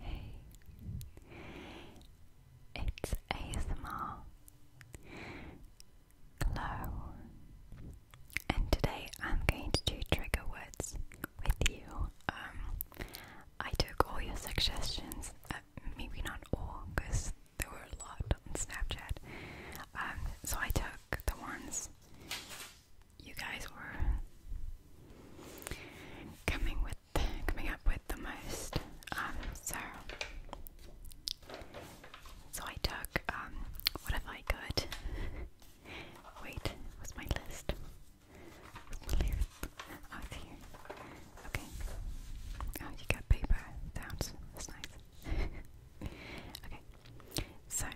Hey, it's ASMR Glow, and today I'm going to do trigger words with you. Um, I took all your suggestions, uh, maybe not all, because there were a lot on Snapchat. Um, so I took the ones you guys were coming with coming up with the most. Um, so so I took um what if I could wait, was my list? Oh it's here. Okay. Oh you got paper sounds. That's nice. okay. So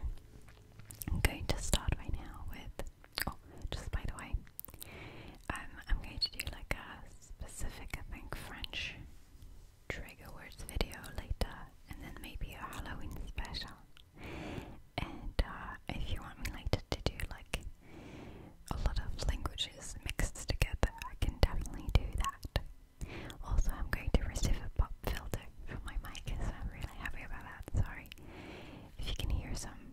I'm going to start right now with oh, just by the way, um, I'm going to do like a specific, I think, French trigger words video later, and then maybe a Halloween special. And uh, if you want me later to do like a lot of languages mixed together, I can definitely do that. Also, I'm going to receive a pop filter from my mic, so I'm really happy about that. Sorry if you can hear some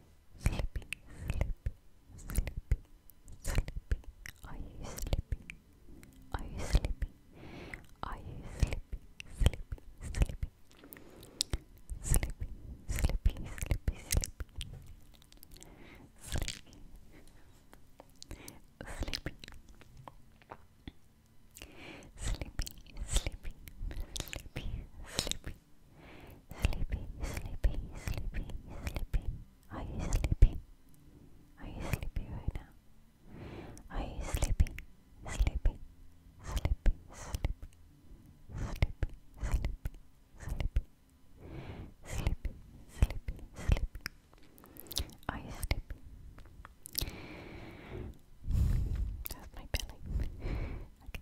Sleepy, sleepy, sleepy, sleepy. Are you sleepy? Are you sleepy? Are you sleepy? Sleepy, sleepy. Sleepy, sleepy, sleepy, sleepy. Sleepy. Sleepy. Sleepy, sleepy, sleepy, sleepy. Sleepy, sleepy, sleepy, sleepy. Are you sleepy? Are you sleepy right now? Are you sleepy? Sleepy, sleepy, sleepy, sleepy, sleepy, sleepy, sleepy, sleepy, sleepy. Are you sleepy? That's my belly. Okay.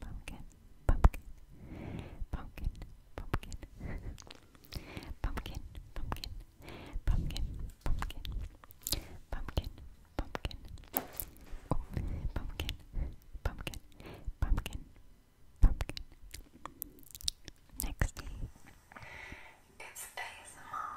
pumpkin, pumpkin, pumpkin, pumpkin, pumpkin, pumpkin, pumpkin, pumpkin, pumpkin, pumpkin, oh, pumpkin, pumpkin, pumpkin, pumpkin. Next, it's ASMR.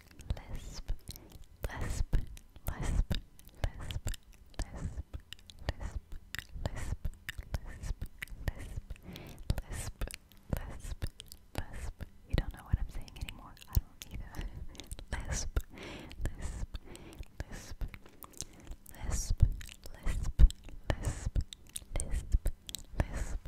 lisp, lisp, lisp, lisp, lisp, lisp, lisp, lisp, lisp, lisp, lisp, lisp. You don't know what I'm saying anymore. I don't either. lisp, lisp, lisp, lisp, lisp, lisp, lisp,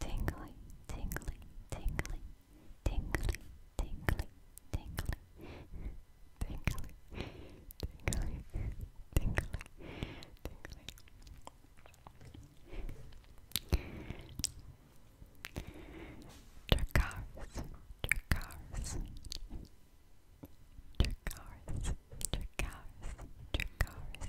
tingly, tingly, tingly, tingly, tingly, tingly, tingly, tingly, tingly, tingly, tingly. Dracars, dracars, dracars. Dracars, Dracars,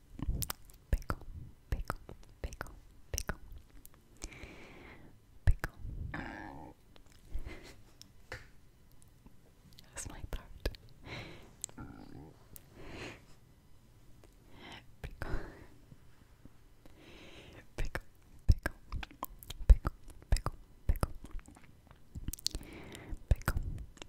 pickle, pickle, pickle, pickle, pickle. That's my throat. Pickle, pickle, pickle, pickle, pickle, pickle, pickle,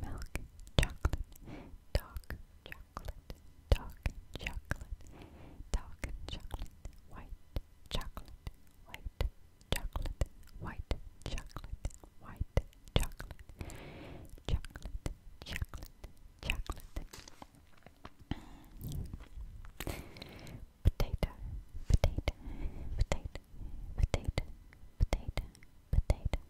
milk chocolate, dark chocolate, dark chocolate, dark chocolate, white chocolate, white chocolate, white chocolate, white chocolate, chocolate, chocolate, chocolate. Potato, potato, potato, potato, potato, potato,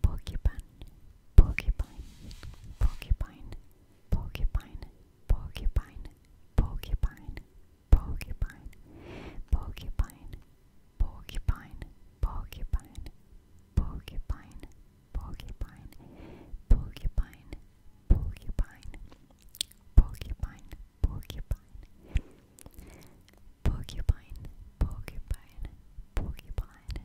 porcupine, porcupine, porcupine, porcupine, porcupine, porcupine, porcupine, porcupine, porcupine, porcupine, porcupine, porcupine, porcupine, porcupine, porcupine, porcupine. Porcupine, porcupine, porcupine,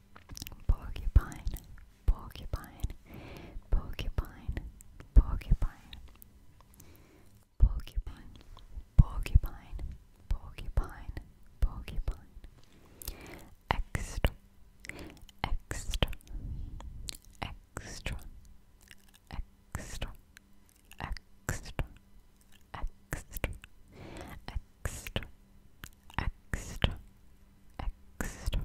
porcupine, porcupine, porcupine, porcupine, porcupine, porcupine, porcupine, porcupine, extra, extra, extra, extra, extra, extra, extra. Extra, extra,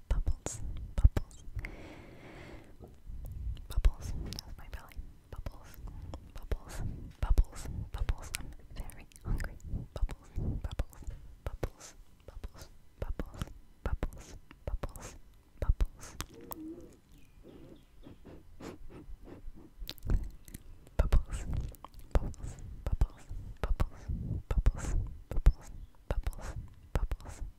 Bubbles, bubbles, bubbles. That's my belly. Bubbles, bubbles, bubbles, bubbles. I'm very hungry. Bubbles, bubbles, bubbles, bubbles, bubbles, bubbles, bubbles, bubbles. Bubbles, bubbles, bubbles, bubbles, bubbles, bubbles, bubbles,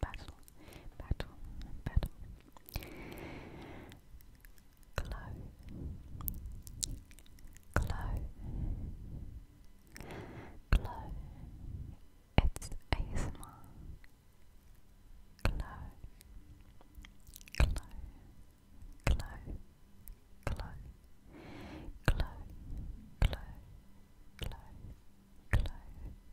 battle, battle, battle, Glow, glow, glow. It's ASMR. Glow, glow, glow, glow, glow, glow, glow, glow.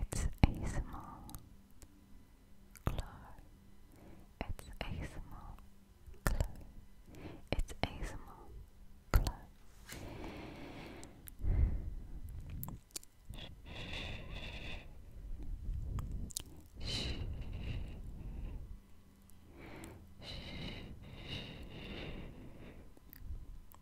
It's ASMR. Glow. It's ASMR. Glow. It's ASMR. Glow. Shh.